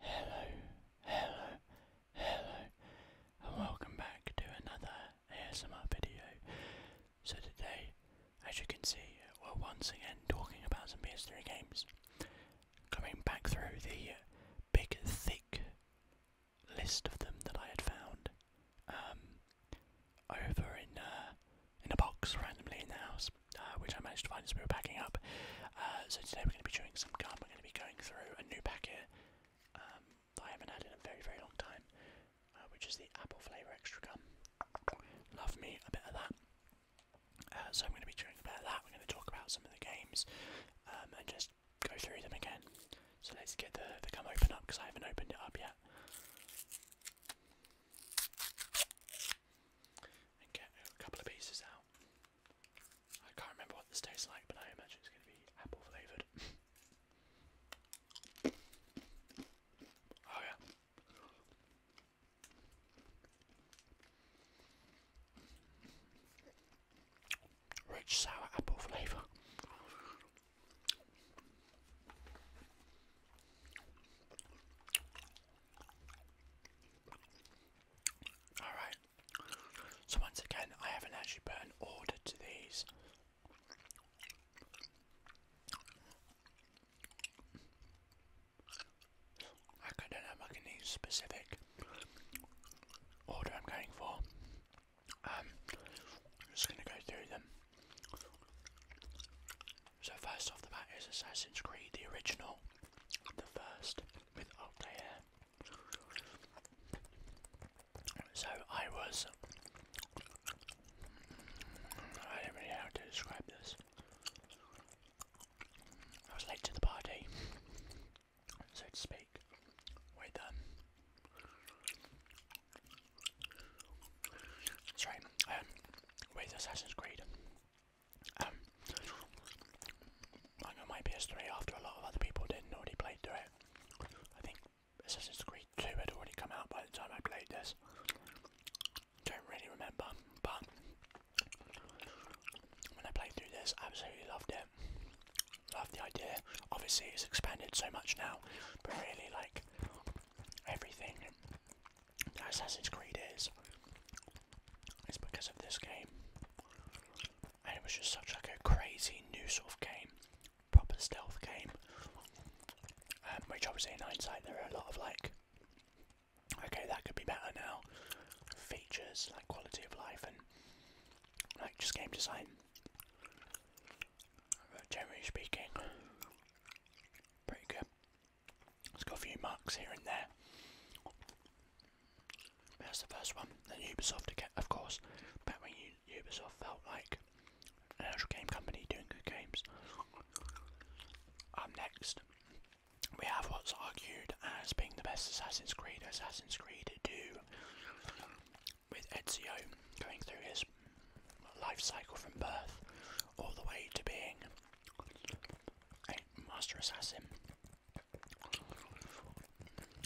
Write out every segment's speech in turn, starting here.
Hello, hello, hello, and welcome back to another ASMR video. So, today, as you can see, we're once again talking about some PS3 games. Coming back through the big, thick list of them that I had found um, over in, uh, in a box randomly in the house. Uh, which I managed to find as we were packing up. Uh, so today we're going to be chewing some gum. We're going to be going through a new packet um, that I haven't had in a very, very long time, uh, which is the apple flavour extra gum. Love me a bit of that. so I'm going to be chewing a bit of that. We're going to talk about some of the games um, and just go through them again. So let's get the, the gum open up because I haven't opened it up yet. And get a couple of pieces out. I can't remember what this tastes like, but I imagine it's going to be apple flavored. oh yeah. Rich sour apple flavour. Alright, so once again, I haven't actually put an order to these. I don't know if specific order I'm going for. Um, I'm just going to go through them. So first off the bat is Assassin's Creed, the original, the first. So I was. I don't really know how to describe this. I was late to the party, so to speak, with um. Sorry, um, Assassin's Creed. Um, I got my PS3 after a lot of other people did already play through it. I think Assassin's Creed 2 had already come out by the time I played this. Don't really remember, but when I played through this, absolutely loved it. Loved the idea. Obviously, it's expanded so much now, but really, like everything that Assassin's Creed is, its because of this game. And it was just such like a crazy new sort of game, proper stealth game. Um, which obviously in hindsight there are a lot of like, okay that could be better now, features like quality of life and like just game design. generally speaking, pretty good. It's got a few marks here and there. That's the first one. Then Ubisoft again, of course. Back when Ubisoft felt like an actual game company doing good games. Um, next, we have what's argued as being the best Assassin's Creed, Assassin's Creed 2, with Ezio going through his life cycle from birth all the way to being Hey, Master Assassin.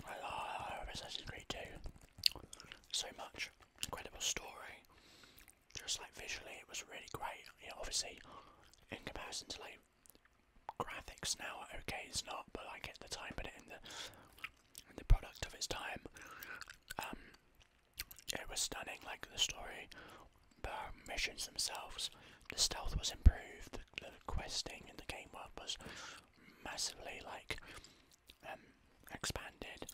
I love Assassin's Creed 2 so much. Incredible story. Just like visually, it was really great. You know, obviously, in comparison to like graphics now, okay, it's not, but I get the time, but in the in the product of its time, um, it was stunning. Like the story the missions themselves, the stealth was improved, the, questing in the game world was massively like um, expanded,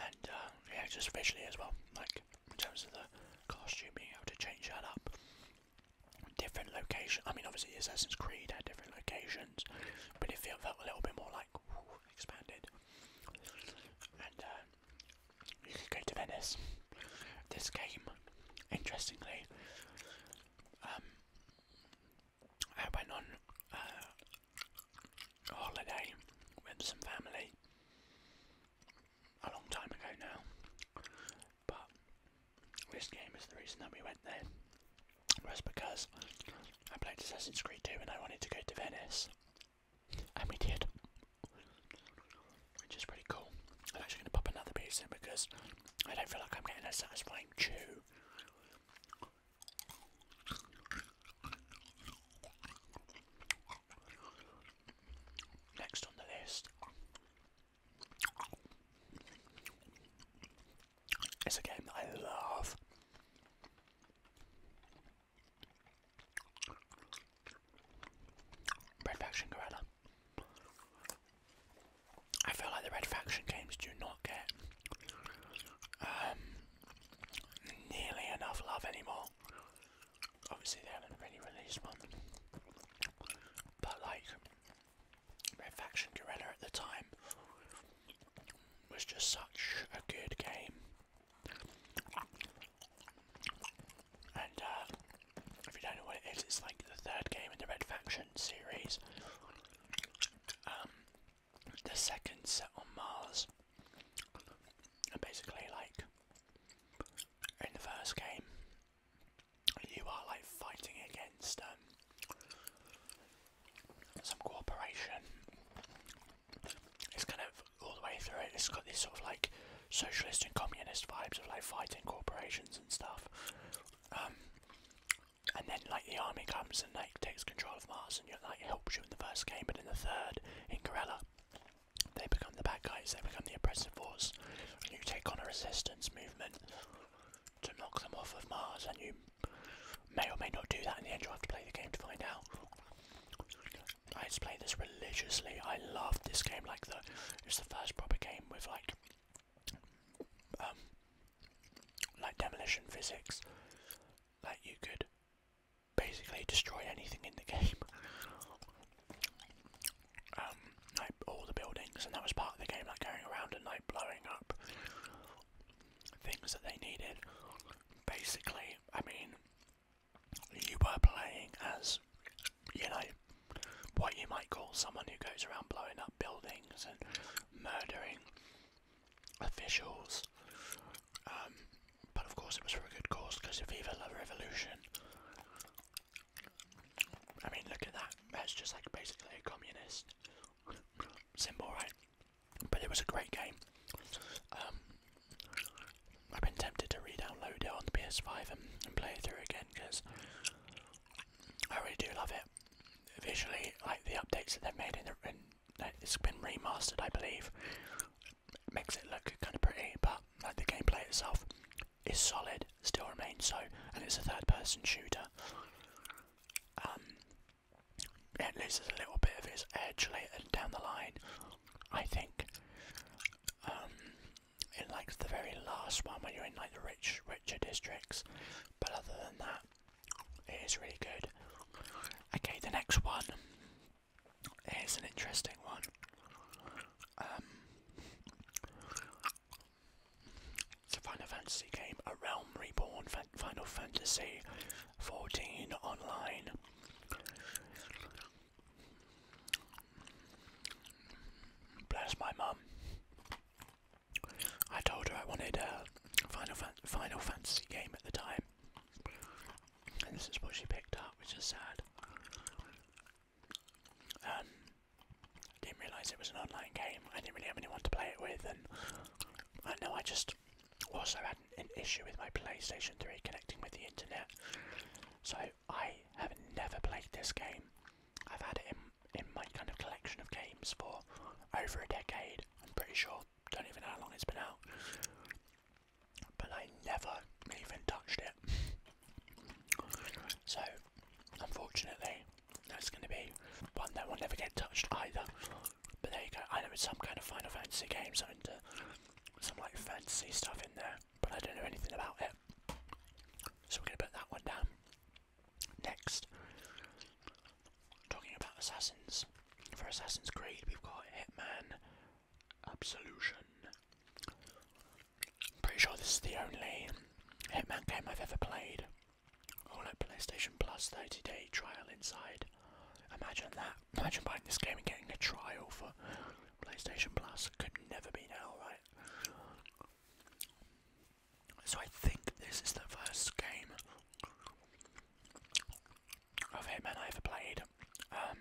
and uh, yeah, just visually as well, like in terms of the costume, being able to change that up. Different location. I mean, obviously, Assassin's Creed had different locations, but it felt, a little bit more like expanded. Uh, you could go to Venice. This game, interestingly, um, I went on uh, a holiday with some family a long time ago now, but this game is the reason that we went there. Was because I played Assassin's Creed 2 and I wanted to go to Venice and we did, which is pretty cool. I'm actually going to pop another piece in because I don't feel like I'm getting a satisfying chew. Next on the list is a game that I love. Red Faction Guerrilla. I feel like the Red Faction games do not get um, nearly enough love anymore. Obviously, they haven't really released one, but like Red Faction Gorilla at the time was just such a good game. And uh, if you don't know what it is, it's like the third game in the Red Faction series. Um, the second set on Mars. And basically, like in the first game, you are like fighting against um, some corporation it's kind of all the way through it. has got these sort of like socialist and communist vibes of like fighting corporations and stuff. Um, and then like the army comes and like takes control of Mars and you like helps you in the first game, but in the third, in Corella, they become the bad guys. They become the oppressive force. And you take on a resistance movement to knock them off of Mars, and you may or may not do that. In the end, you have to play the game to find out. I used this religiously. I loved this game. Like the it's the first proper game with like um like demolition physics. Like you could basically destroy anything in the game. um, like all the buildings, and that was part of the game, like going around and like blowing up things that they needed. Basically, I mean, you were playing as, you know, what you might call someone who goes around blowing up buildings and murdering officials. Um, but of course, it was for a good cause because of Viva La Revolution. I mean, look at that. That's just like basically a communist symbol, right? But it was a great game. Um, I've been tempted to re-download it on the PS5 and, play it through again because I really do love it. Visually, like the updates that they've made in, it, it's been remastered, I believe. It makes it look kind of pretty, but like the gameplay itself is solid, still remains so, and it's a third-person shooter. Um, it loses a little bit of its edge later down the line, I think. Um, in like the very last one when you're in like the rich, richer districts. But other than that, it is really good. Okay, the next one is an interesting one. Um, it's a Final Fantasy game, A Realm Reborn, Final Fantasy 14 Online. Bless my mum. I told her I wanted a Final, Fantasy game at the time. And this is what she picked up, which is sad. Um, I didn't realise it was an online game. I didn't really have anyone to play it with, and I know I just also had an, issue with my PlayStation 3 connecting with the internet. So I have never played this game. I've had it in, my kind of collection of games for over a decade, I'm pretty sure. Don't even know how long it's been out. But I never even touched it. So, unfortunately, that's going to be one that will never get touched either. But there you go. I know it's some kind of Final Fantasy game, something to some like fantasy stuff in there, but I don't know anything about it. So we're gonna put that one down. Next, talking about assassins. For Assassin's Creed, we've got Hitman Absolution. Pretty sure this is the only Hitman game I've ever played. Oh, like PlayStation Plus 30 day trial inside. Imagine that. Imagine buying this game and getting a trial for PlayStation Plus. Could never be now, right? So I think this is the first game of Hitman I ever played. Um,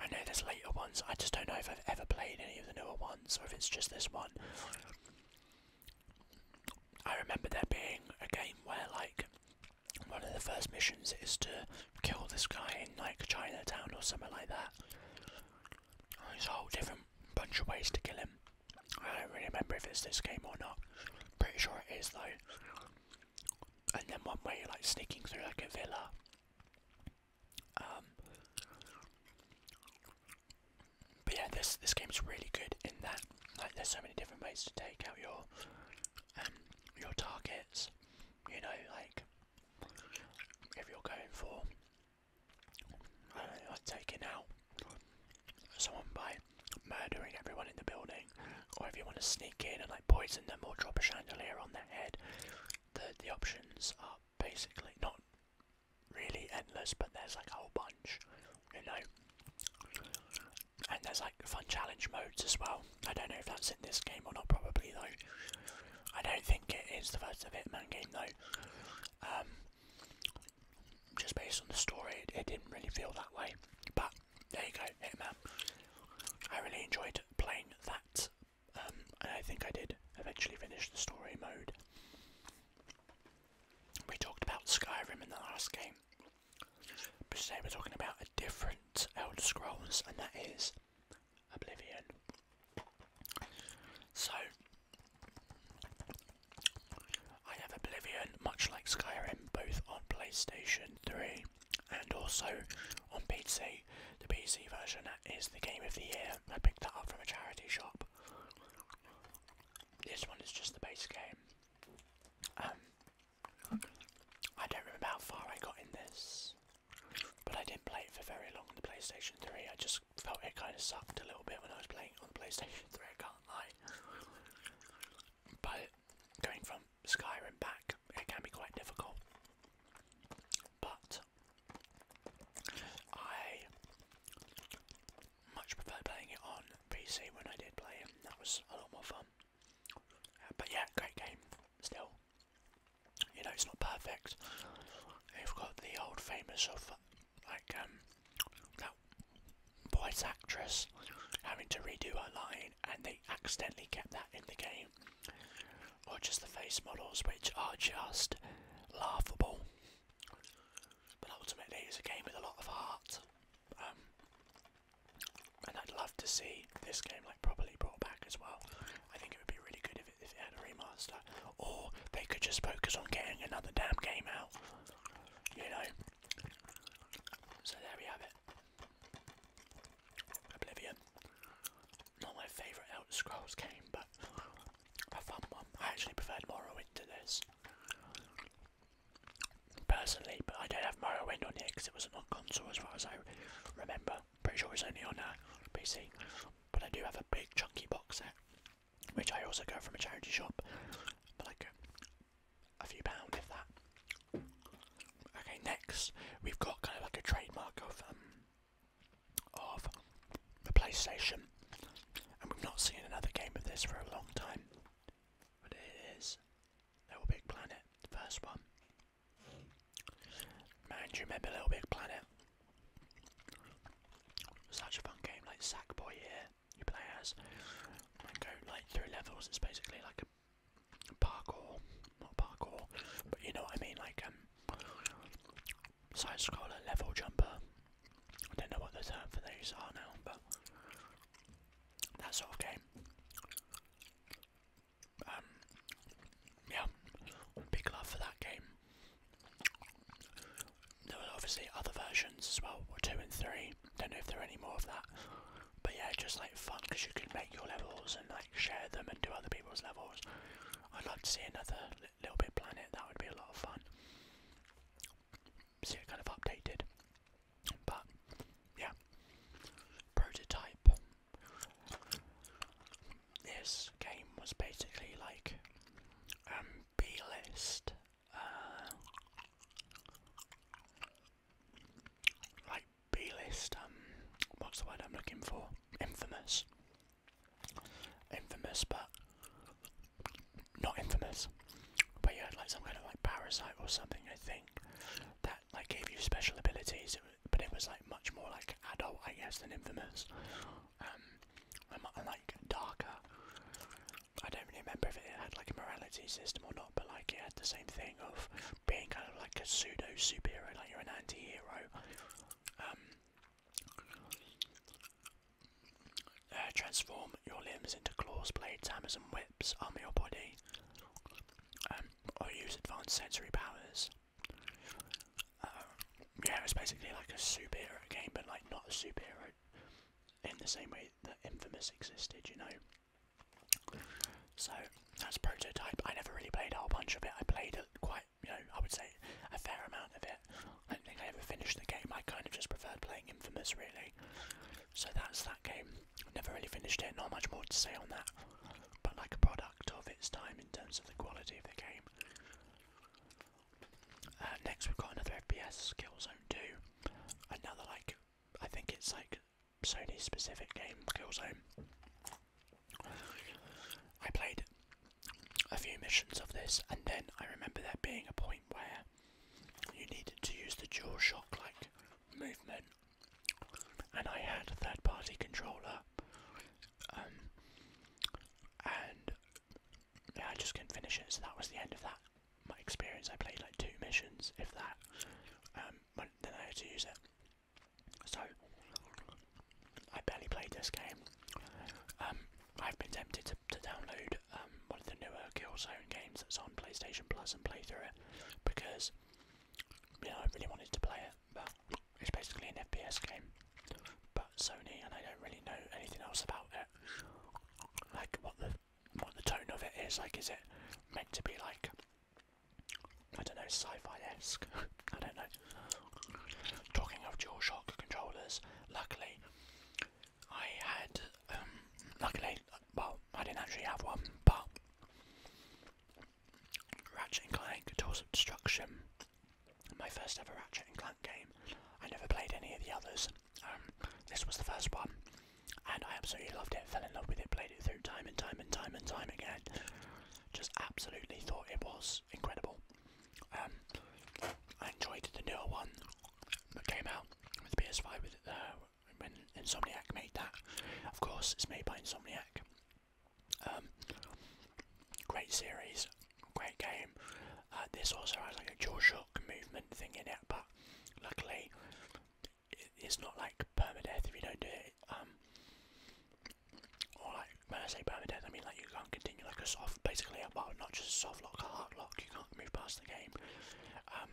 I know there's later ones, I just don't know if I've ever played any of the newer ones or if it's just this one. I remember there being a game where, like, one of the first missions is to kill this guy in like Chinatown or somewhere like that. There's a whole different bunch of ways to kill him. I don't really remember if it's this game or not. Pretty sure it is though. And then one way you're like sneaking through like a villa. Um, but yeah, this this is really good in that like there's so many different ways to take out your um, your targets. You know, like if you're going for I don't know, like taking out someone by murdering everyone in the building, or if you want to sneak in and like poison them or drop a chandelier on their head, the the options are basically not really endless, but there's like a whole bunch, you know and there's like fun challenge modes as well. I don't know if that's in this game or not, probably though. I don't think it is the first of Hitman game though. Um, just based on the story, it, didn't really feel that way. But there you go, Hitman. I really enjoyed playing that, um, I think I did eventually finish the story mode. We talked about Skyrim in the last game. But today we're talking about a different Elder Scrolls, and that is Oblivion. So, I have Oblivion, much like Skyrim, both on PlayStation 3 and also on PC, the PC version that is the game of the year. I picked that up from a charity shop. This one is just the base game. Um, I don't remember how far I got in this, but I didn't play it for very long on the PlayStation 3. I just felt it kind of sucked a little bit when I was playing on the PlayStation 3, I can't lie. But going from Skyrim back, it can be quite difficult. But I much prefer playing it on PC when I did play it, that was a lot more fun. Uh, but yeah, great game still. You know, it's not perfect. They've got the old famous of like um, that voice actress having to redo her line, and they accidentally kept that in the game, or just the face models, which are just laughable. But ultimately, it's a game with a lot of heart. Um, and I'd love to see this game like properly brought back as well. I think it would be really good if it, if it had a remaster, or they could just focus on getting another damn game out. You know. So there we have it. Oblivion. Not my favourite Elder Scrolls game, but a fun one. I actually preferred Morrowind to this personally, but I don't have Morrowind on here because it wasn't on console as far as I remember. Pretty sure it's only on a uh, PC, but I do have a big chunky box set, which I also got from a charity shop for like a, few pounds, if that. Okay, next we've got kind of like a trademark of um, of the PlayStation, and we've not seen another game of this for a long time. But it is Little Big Planet, the first one. Man, do you remember Little Big Planet? Such a fun game, like Sackboy here, you play and go like through levels. It's basically like a parkour, not parkour, but you know what I mean, like um, side scroller, level jumper. I don't know what the term for these are now, but that sort of game. Um, yeah, big love for that game. There were obviously other versions as well, two and three. Don't know if there are any more of that. But yeah, just like fun because you can make your levels and like share them and do other people's levels. I'd love to see another Little Big Planet. That would be a lot of fun see kind of updated. But yeah, prototype. This game was basically like um, B list, uh, like B list. Um, what's the word I'm looking for? Infamous. Infamous, but not infamous, but you had like some kind of like parasite or something, I think, that like gave you special abilities. It but it was like much more like adult, I guess, than infamous, um, and, and like darker. I don't really remember if it had like a morality system or not, but like it had the same thing of being kind of like a pseudo superhero, like you're an anti-hero. Um, uh, transform your limbs into claws, blades, hammers, and whips. Arm your body, um, or use advanced sensory powers. Um, yeah, it's basically like a superhero game, but like not a superhero in the same way that Infamous existed, you know. So that's prototype. I never really played a whole bunch of it. I played quite, you know, I would say a fair amount of it. I don't think I ever finished the game. I kind of just preferred playing Infamous, really. So that's that that game. Never really finished it, not much more to say on that. But like a product of its time in terms of the quality of the game. Uh, next we've got another FPS, Killzone 2. Another like, I think it's like Sony specific game, Killzone. I played a few missions of this and then I remember there being a point where you needed to use the dual shock like movement, and I had a third party controller, um, and yeah, I just couldn't finish it, so that was the end of that. My experience, I played like two missions, if that, um, then I had to use it. So, I barely played this game. Um, I've been tempted to, download um, one of the newer Killzone games that's on PlayStation Plus and play through it because you know I really wanted to play it, but it's basically an FPS game. But Sony and I don't really know anything else about it, like what the what the tone of it is. Like, is it meant to be like I don't know, sci-fi esque? I don't know. Talking of DualShock controllers, luckily I had, um, luckily, well, I didn't actually have one, but Ratchet and Clank Tools of Destruction, my first ever Ratchet and Clank game. I never played any of the others. Um, this was the first one, and I absolutely loved it. Fell in love with it. Played it through time and time and time and time again. Just absolutely thought it was incredible. Um, I enjoyed the newer one that came out with PS5 with, uh, when Insomniac made that. Of course, it's made by Insomniac. Um, great series, great game. Uh, this also has like a jaw shock movement thing in it, but luckily it's not like permadeath if you don't do it. Um, or like when I say permadeath, I mean like you can't continue like a soft, basically, well not just soft lock, a hard lock. You can't move past the game. Um,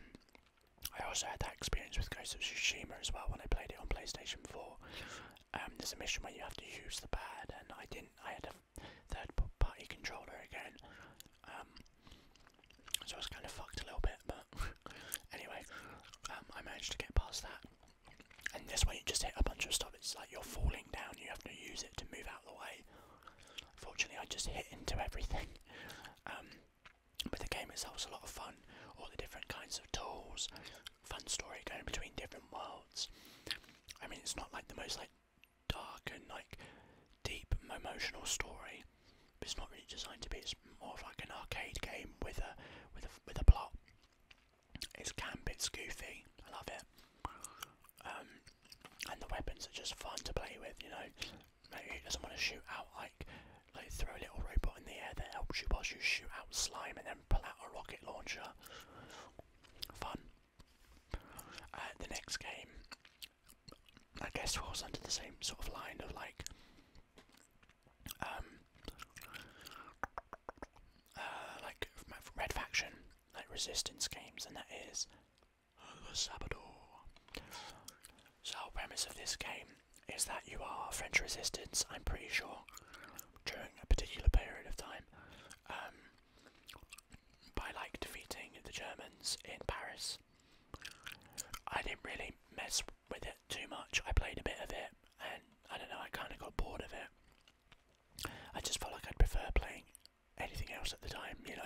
I also had that experience with Ghost of Tsushima as well when I played it on PlayStation 4. Um, there's a mission where you have to use the pad, and I didn't. I had a third-party controller again, um, so I was kind of fucked a little bit. But anyway, I managed to get past that. And this way, you just hit a bunch of stuff. It's like you're falling down. You have to use it to move out of the way. Fortunately, I just hit into everything. Um, but the game itself itself's a lot of fun. All the different kinds of tools, fun story going between different worlds. I mean, it's not like the most like dark and like deep emotional story. it's not really designed to be. It's more of like an arcade game with a with a with a plot. It's camp. It's goofy. I love it. Um, and the weapons are just fun to play with. You know, Maybe it doesn't want to shoot out like like throw a little robot in the air that helps you whilst you shoot out slime and then pull out a rocket launcher. Fun. Uh, the next game, I guess, falls under the same sort of line of like, um, uh, like Red Faction, like Resistance games, and that is the Sabador. So, premise of this game is that you are French resistance. I'm pretty sure during a particular period of time, um, by like defeating the Germans in Paris. I didn't really mess with it too much. I played a bit of it, and I don't know. I kind of got bored of it. I just felt like I'd prefer playing anything else at the time, you know.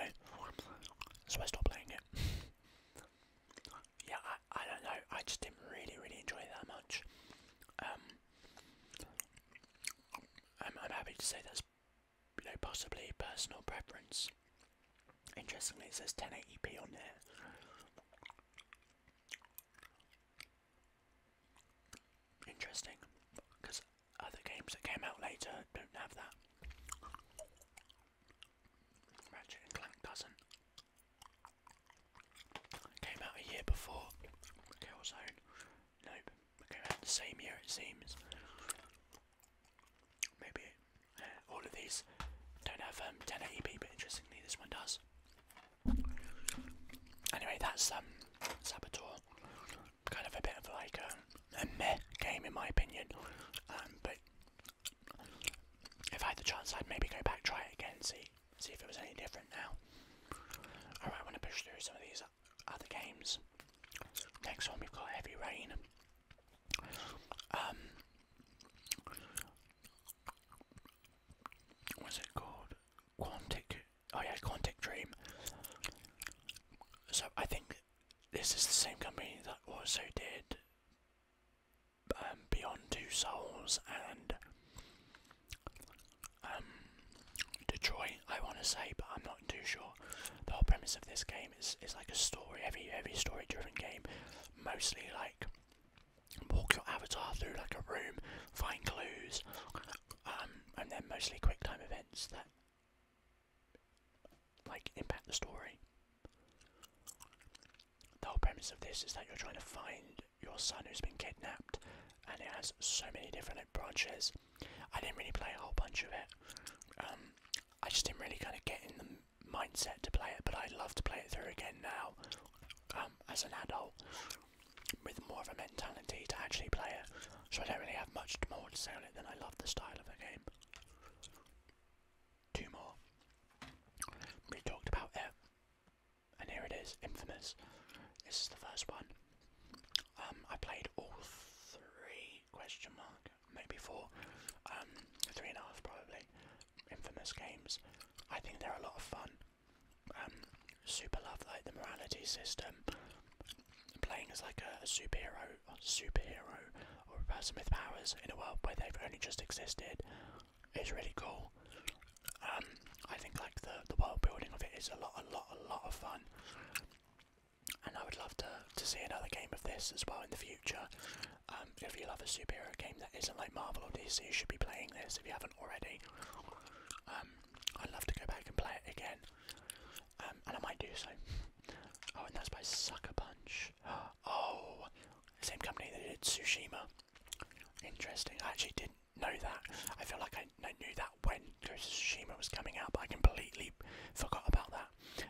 So I stopped playing it. yeah, I, I don't know. I just didn't really, really enjoy it that much. Um, I'm, I'm happy to say that's you know possibly personal preference. Interestingly, it says 1080p on there. Interesting, because other games that came out later don't have that. Ratchet and Clank doesn't. came out a year before Killzone. Nope, came out the same year it seems. Maybe all of these don't have um, 1080p, but interestingly this one does. Anyway, that's um, Saboteur kind of a bit of like a, um, a meh game in my opinion. Um, but if I had the chance, I'd maybe go back, try it again, see see if it was any different now. Alright, want to push through some of these other games. Next one, we've got Heavy Rain. Um, what's it called? Quantic. Oh yeah, Quantic Dream. So I think this is the same company that also did um, Beyond Two Souls and um, Detroit, I want to say, but I'm not too sure. The whole premise of this game is, is like a story, Every heavy story driven game. Mostly like walk your avatar through like a room, find clues, um, and then mostly quick time events that like impact the story. The whole premise of this is that you're trying to find your son who's been kidnapped, and it has so many different branches. I didn't really play a whole bunch of it. Um, I just didn't really kind of get in the mindset to play it, but I'd love to play it through again now um, as an adult with more of a mentality to actually play it. So I don't really have much more to say on then I love the style of the game. Two more. We talked about it. And here it is, Infamous. This is the first one. Um, I played all three question mark, maybe four, um, three and a half probably. Infamous games. I think they're a lot of fun. Um, super love like the morality system. Playing as like a superhero superhero, or a person with powers in a world where they've only just existed is really cool. Um, I think like the the world building of it is a lot, a lot, a lot of fun, and I would love to to see another game of this as well in the future. Um, if you love a superhero game that isn't like Marvel or DC, you should be playing this if you haven't already. Um, I'd love to go back and play it again. Um, and I might do so. Oh, and that's by Sucker Punch. Oh, same company that did Tsushima. Interesting. I actually didn't know that. I feel like I knew that when Ghost of Tsushima was coming out, but I completely forgot about that.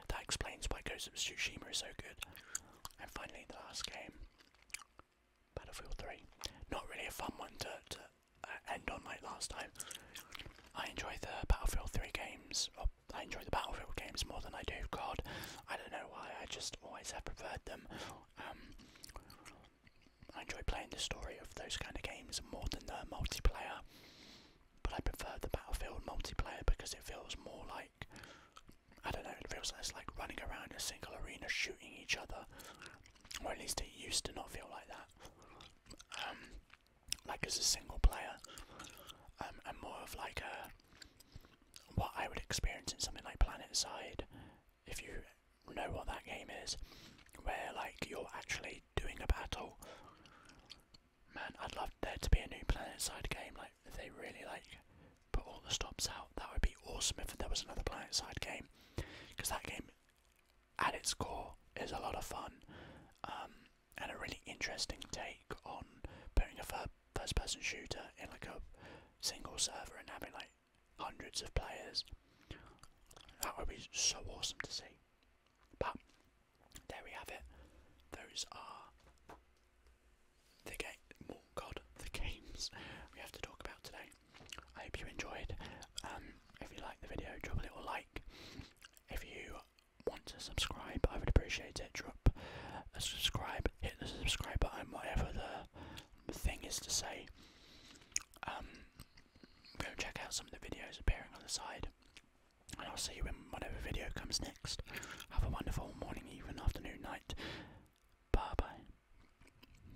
That explains why Ghost of Tsushima is so good. And finally, the last game, Battlefield 3. Not really a fun one to uh, end on like last time. I enjoy the Battlefield 3 games, I enjoy the Battlefield games more than I do COD. I don't know why, I just always have preferred them. Um, I enjoy playing the story of those kind of games more than the multiplayer, but I prefer the Battlefield multiplayer because it feels more like I don't know, it feels like like running around a single arena shooting each other, or at least it used to not feel like that. Um, like as a single player, um, and more of like a what I would experience in something like Planet Side, if you know what that game is, where like you're actually doing a battle. Man, I'd love there to be a new Planet Side game. Like if they really like put all the stops out, that would be awesome if there was another Planet Side game, because that game at its core is a lot of fun um, and a really interesting take on putting a first person shooter in like a single server and having like hundreds of players. That would be so awesome to see. But there we have it. Those are the game. Oh God, the games we have to talk about today. I hope you enjoyed. Um, if you liked the video, drop a little like if you want to subscribe, I would appreciate it. Drop a subscribe, hit the subscribe button, whatever the thing is to say. Um, go and check out some of the videos appearing on the side, and I'll see you in whatever video comes next. Have a wonderful morning, even afternoon, night. Bye bye.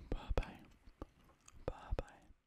Bye bye. Bye bye.